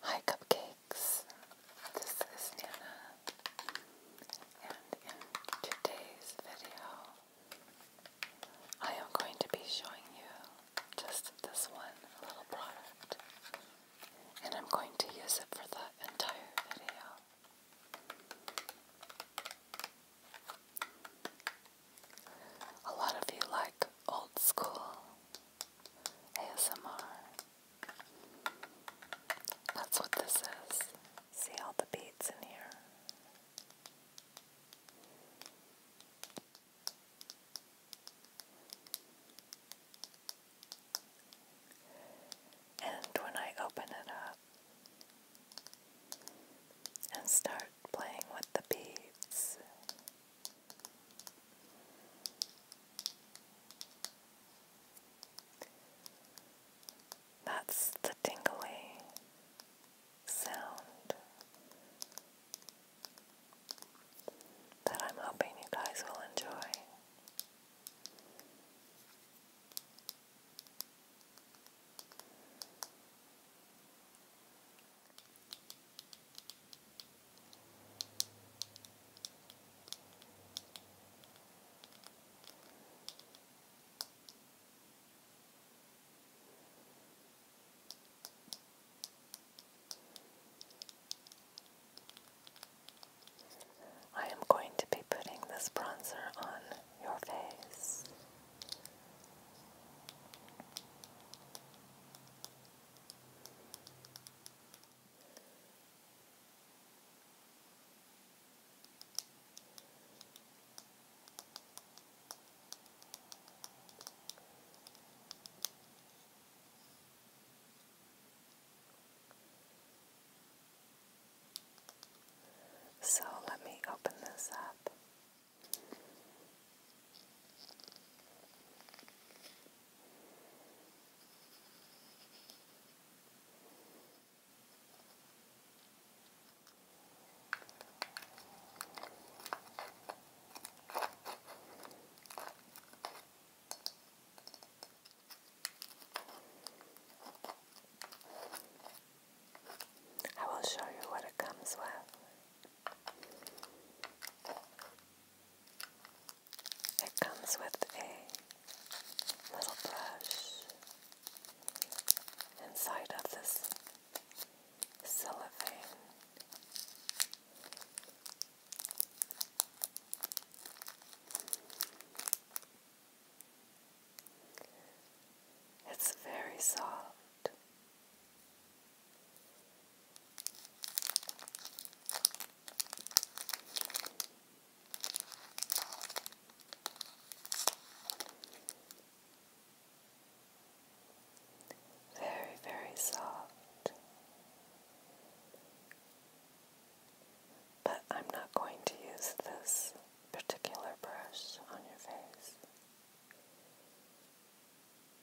Hi Cupcakes, this is Nana and in today's video I am going to be showing you just this one little product and I'm going to use it for the entire video. A lot of you like old school ASMR. That's what this is. See all the beads in here. And when I open it up and start playing with the beads, that's the tingly sound that I'm hoping you guys will enjoy. I am going to be putting this bronzer on your face. So let me open this up. I will show you what it comes with. It comes with a little brush inside of this cellophane. It's very soft. Very, very soft. But I'm not going to use this particular brush on your face.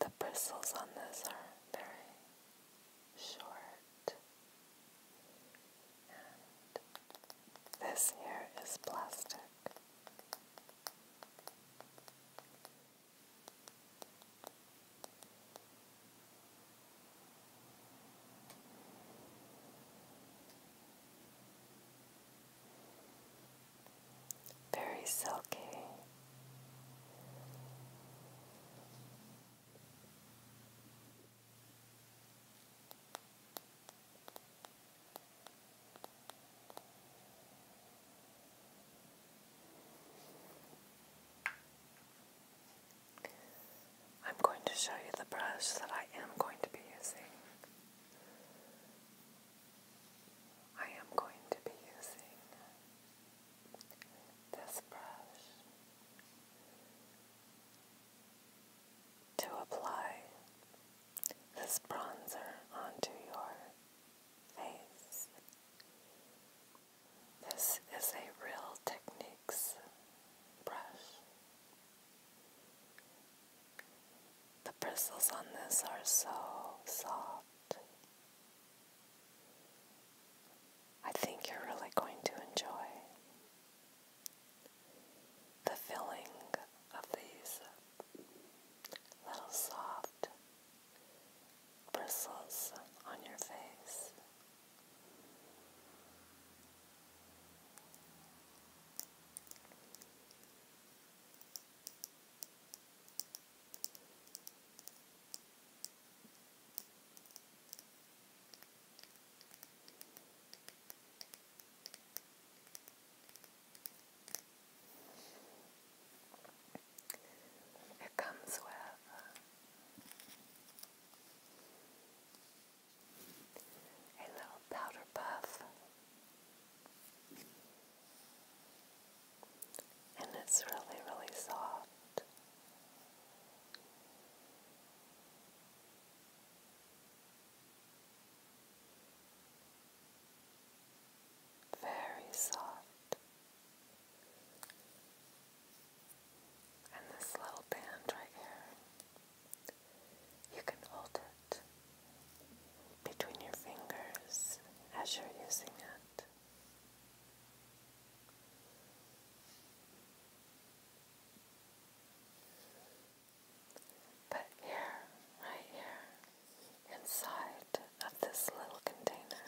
The bristles on this are very short this here is plastic. Very silky. I'm going to show you the brush that I am going to be using. I am going to be using this brush to apply this bronzer onto your face. This is a Real Techniques brush. The bristles on this are so soft. I think you're really going to enjoy the feeling of these little soft bristles on your face. It comes with a little powder puff, and it's really, really soft very soft. And this little band right here, you can hold it between your fingers as you're using it. But here, right here, inside of this little container,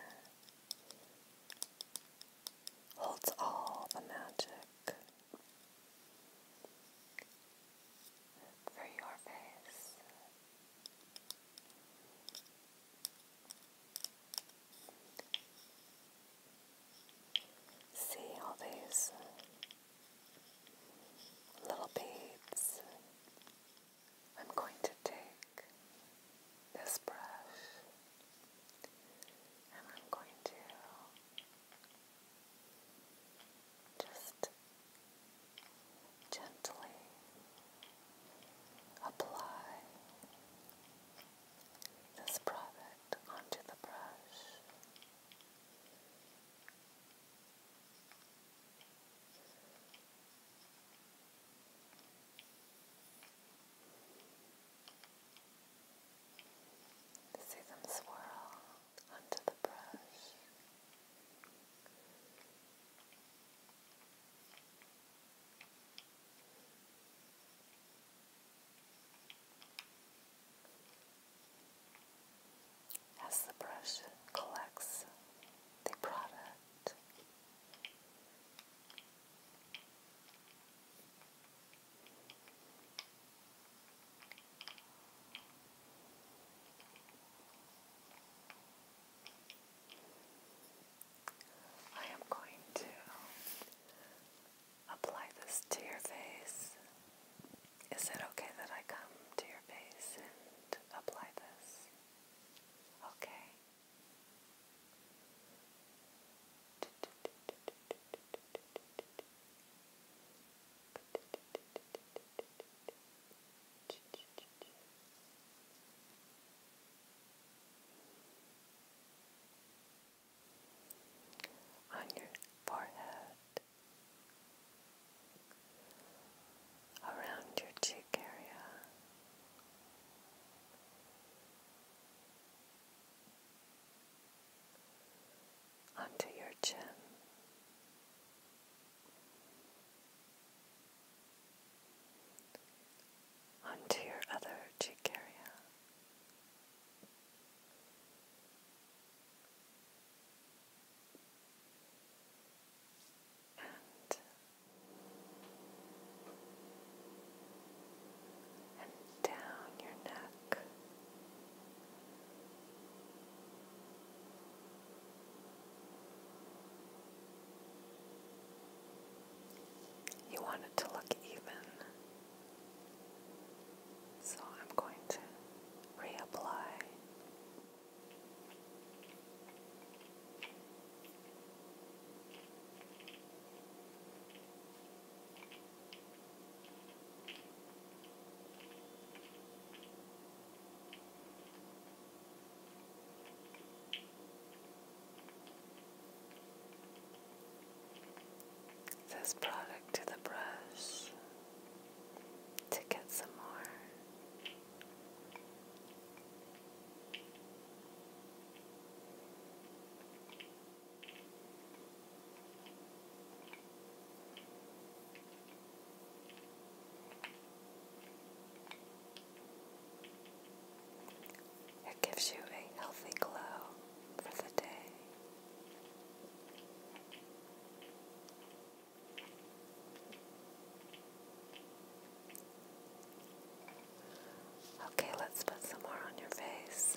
holds all the magic for your face. See all these little beads. I'm going to take this brush and I'm going to just gently apply this product onto the brush. See them swirl onto the brush. Now as the brush collects the product. I am going to apply this to your face is it okay that I come to your face and apply this? Okay. On your forehead, around your cheek area. Onto your chin, onto your other cheek area, and down your neck. You want it to look even. So I'm going to reapply. This product to the brush to get some more. It gives you a healthy glow for the day. Okay, let's put some more on your face.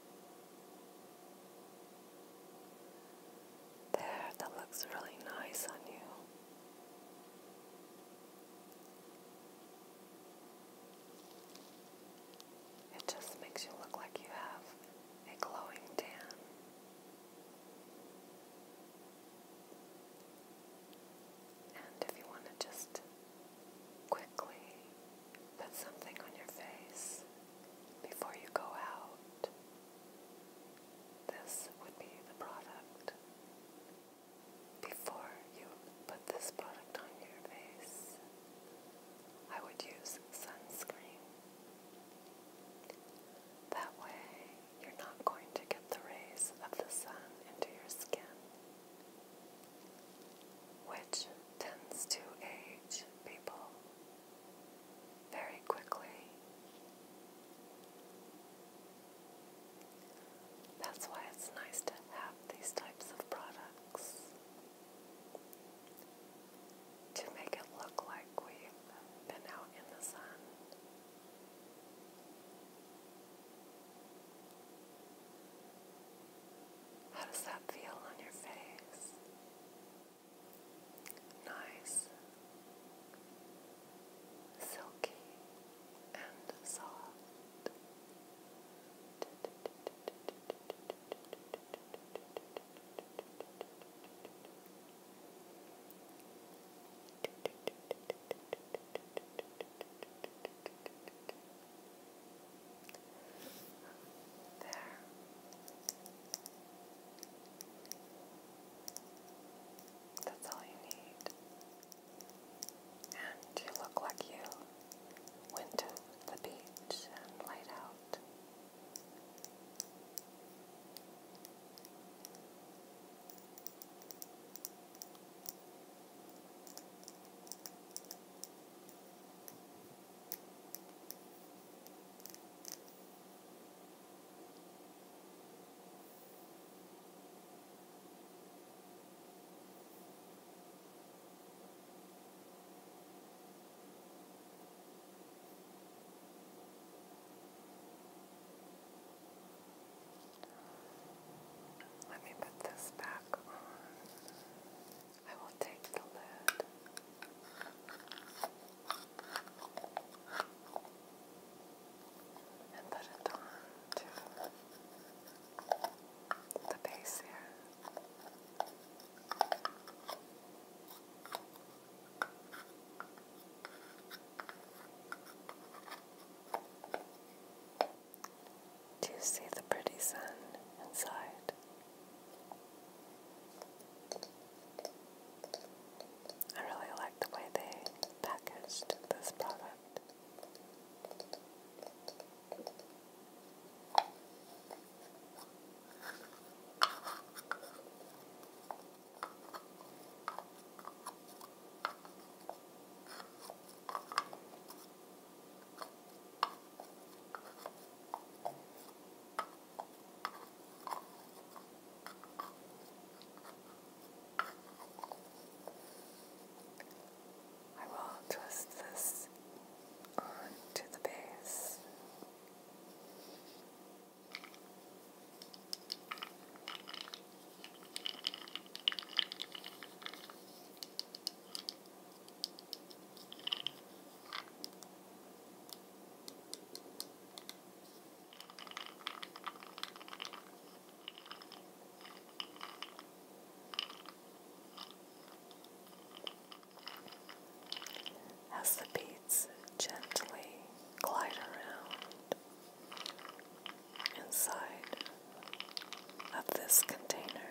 There, that looks really nice on you. It just makes you look like you have a glowing tan. And if you want to just quickly put something on your face before you go out, this would be the product. Before you put this product on your face, I would use sunscreen. That way, you're not going to get the rays of the sun into your skin, which tends to age people very quickly. That's why it's nice to have these types of products to make it look like we've been out in the sun. How does that feel on your face? nice, silky, and soft. Just there. That's all you need. And you look like you went to the beach and laid out. Let me put this back on. I will take the lid. And put it on to the base here. Do see the pretty sun inside? I really like the way they packaged this product. I will twist this onto the base. As the beads gently glide around inside of this container,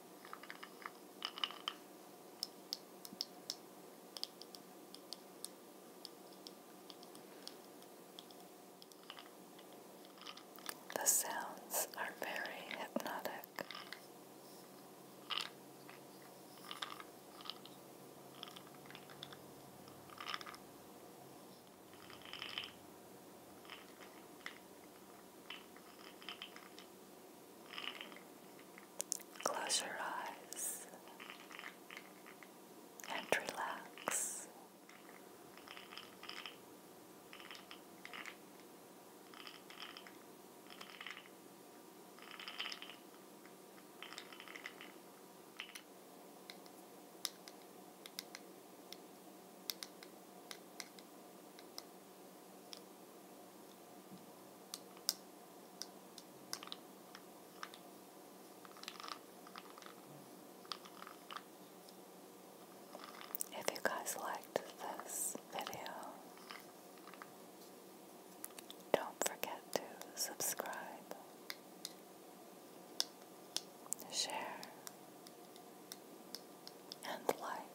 The sounds are very hypnotic. Close your eyes and relax. If you guys liked this video, don't forget to subscribe, share, and like.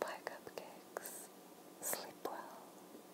Bye, cupcakes. Sleep well